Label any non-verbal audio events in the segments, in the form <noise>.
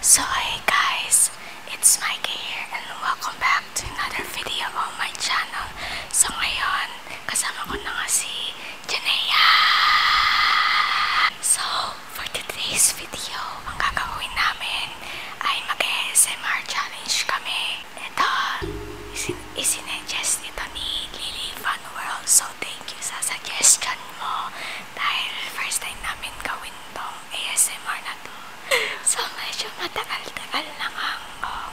So hey guys, it's Mikey here and welcome back to another video on my channel. So ngayon, kasama ko na si Janea. So, for today's video, ang gagawin namin ay mag-ASMR challenge kami. Ito, isin isinuggest ito ni Lily Fun World. So, thank you sa suggestion mo. Dahil first time namin gawin tong ASMR na to. So, medyo matagal-tagal na nga um,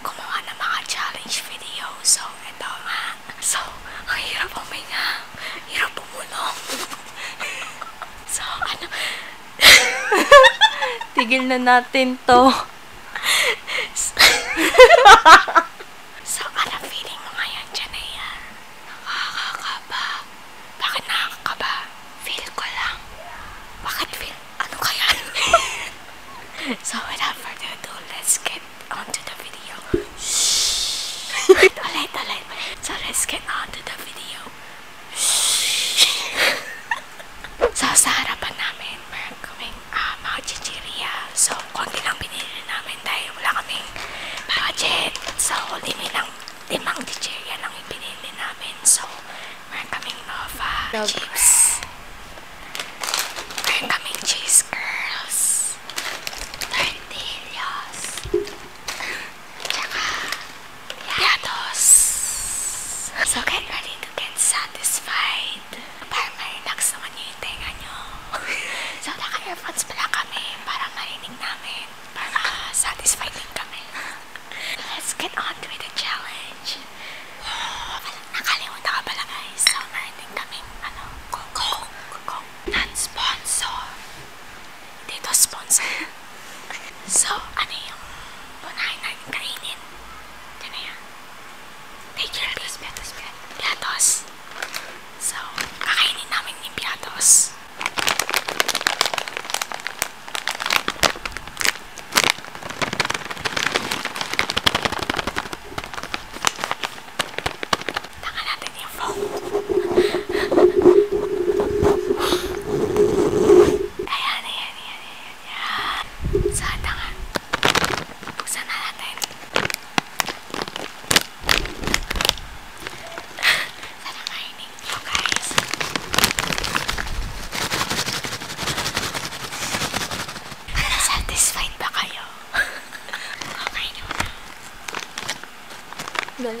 gumawa ng mga challenge video. So, ito nga. So, ang hirap uminga. Hirap pumulong. <laughs> so, ano... <laughs> Tigil na natin to. so, ano feeling mo ngayon, Janaya? Nakakakaba. Bakit nakakakaba? Feel ko lang. Bakit feel? Ano kaya? <laughs> so, without further ado, let's get on to the video. Shhh! ulit, ulit. So, let's get on to the video so, sa harapan namin, meron kaming uh, mga chichiria. So, konti ano lang binili namin dahil wala kaming budget. So, limi lang, limang chichiria lang yung binili namin. So, meron kaming Nova Love chips. Meron kaming cheese curls. Tortillas. tsaka yatos. So, get ready to get satisfied. Parang ma-relax naman yung tenga nyo. <laughs> so, naka-earphones pala kami para marinig namin. Para satisfied kami. Let's get on with the challenge. Nakalimutan ka pala guys. So, marinig kami, ano, coke. Coke. Non-sponsor. They dito sponsor. so, ano yung unahin natin kainin? Diyan na yan. Take your pick. Piatos, piatos, So, kakainin namin yung piatos. Taka natin yung <laughs> Ayan, ayan, ayan, ayan, ayan. Sa tanga. Buksan na natin. Sana mainig nyo, guys. Satisfied ba kayo? <laughs> okay naman. Dali.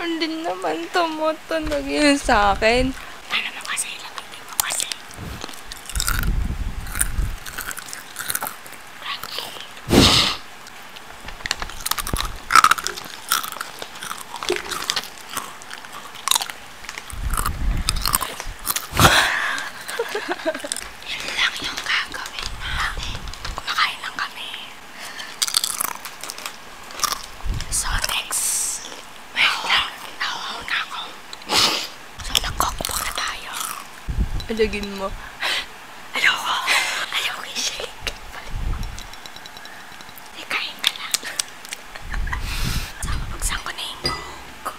Hindi ano naman tumutunog yun sa akin. Ano mo kasi, lapitin mo kasi. Ha, ha, ha. Yun lang yung gagawin namin. Kumakain lang kami. So, next. Wait oh, lang. Nahuhaw na ako. So, nag-cookbook na tayo. Alagin mo. Ayoko. Ayoko yung shake. Ay, kain ka lang. Sama, pagsan ko na yung cook.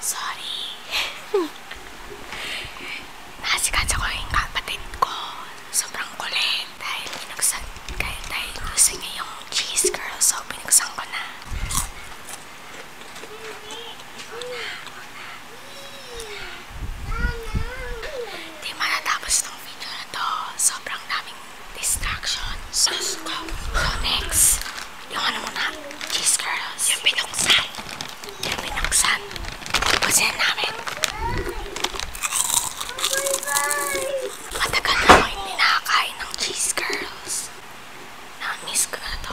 Sorry. <laughs> Nasikat ako yung kapatid ko. Sobrang kulit. Dahil binuksan, kahit dahil gusto niya yung cheese girl. So, binuksan ko na. Una, una. Di matatapos ng video na to. Sobrang daming distractions. Let's go. So next, yung ano muna, cheese curls. Yung pinuksan. Yung pinuksan. Pusin namin. Matagal na ako hindi nakakain ng cheese curls. Na-miss ko na to.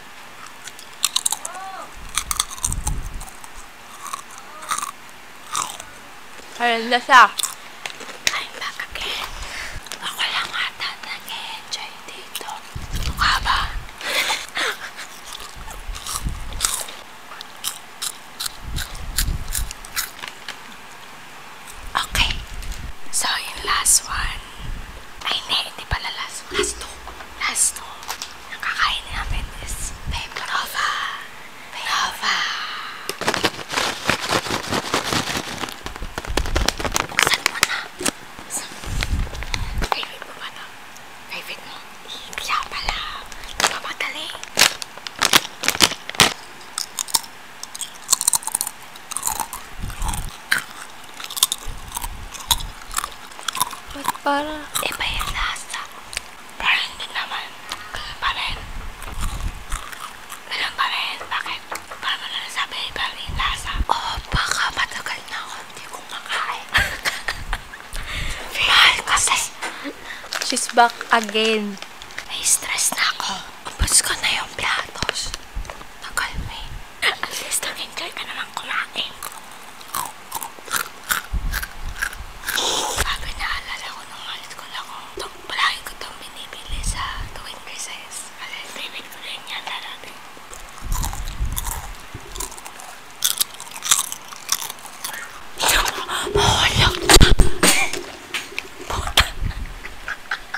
Ayun na siya. I'm back again. Ako lang ata nag-enjoy dito. Mukha ba? <laughs> okay. So, yung last one one. Ay, hindi. Hindi pala last one. Last two. Last two. Ang kakain namin is Babe Nova. Babe Nova. Buksan mo na. Buksan mo. Favorite mo ba na? Favorite mo? Kaya pala. Di ba magaling? Ba't parang iba yung lasa? Parang hindi naman. Ganun pa rin. Ganun pa rin. Bakit? Parang mo na nasabi iba rin yung lasa. Oo, oh, baka matagal na ako hindi ko makain. <laughs> Mahal kasi. She's back again. May stress na ako. Ubus ko na yung platos. Tagal mo eh. At least nag-enjoy ka naman kumain. Sabi naalala ko nung halit ko na kung itong palagi ko itong binibili sa tuwing recess. Kasi favorite ko rin yan darating. Mahulog na! Puta!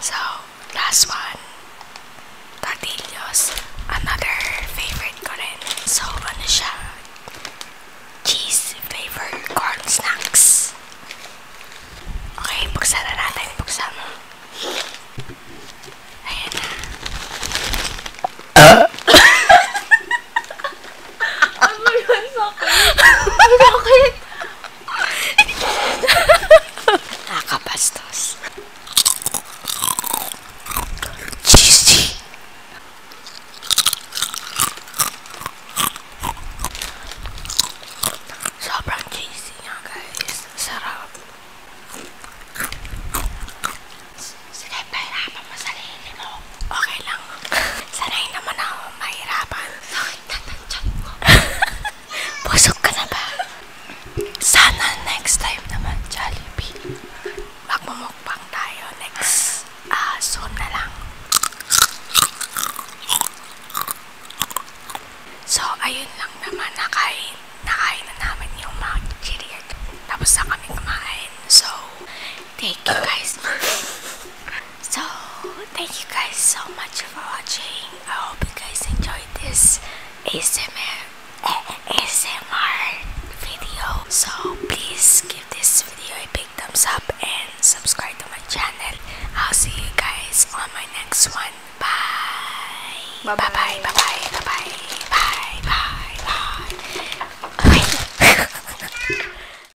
so, last one. Tortillos. Another favorite ko So, ano siya? Cheese flavored corn snacks. Okay, buksan na natin. Buksan mo. Ayan ah! <laughs> Nakakabastos. Cheesy. Sobrang cheesy niya, guys. Sarap. Sige, pahirapan mo sarili mo. Okay lang. <laughs> Sanay naman ako mahirapan sakit na ng tiyan ko. Busog ka na ba? Sana next time naman, Jollibee. Magmumukbang tayo next uh, soon na lang. So, ayun lang naman. Nakain, nakain na namin yung mga chichirian. Tapos na kami kumain. So, Thank you guys. <laughs> so, thank you guys so much for watching. I hope you guys enjoyed this ASMR, ASMR video. So, please give this video a big thumbs up and subscribe to my channel. I'll see you guys on my next one. Bye. Bye bye. Bye bye. Bye bye. Bye bye. bye.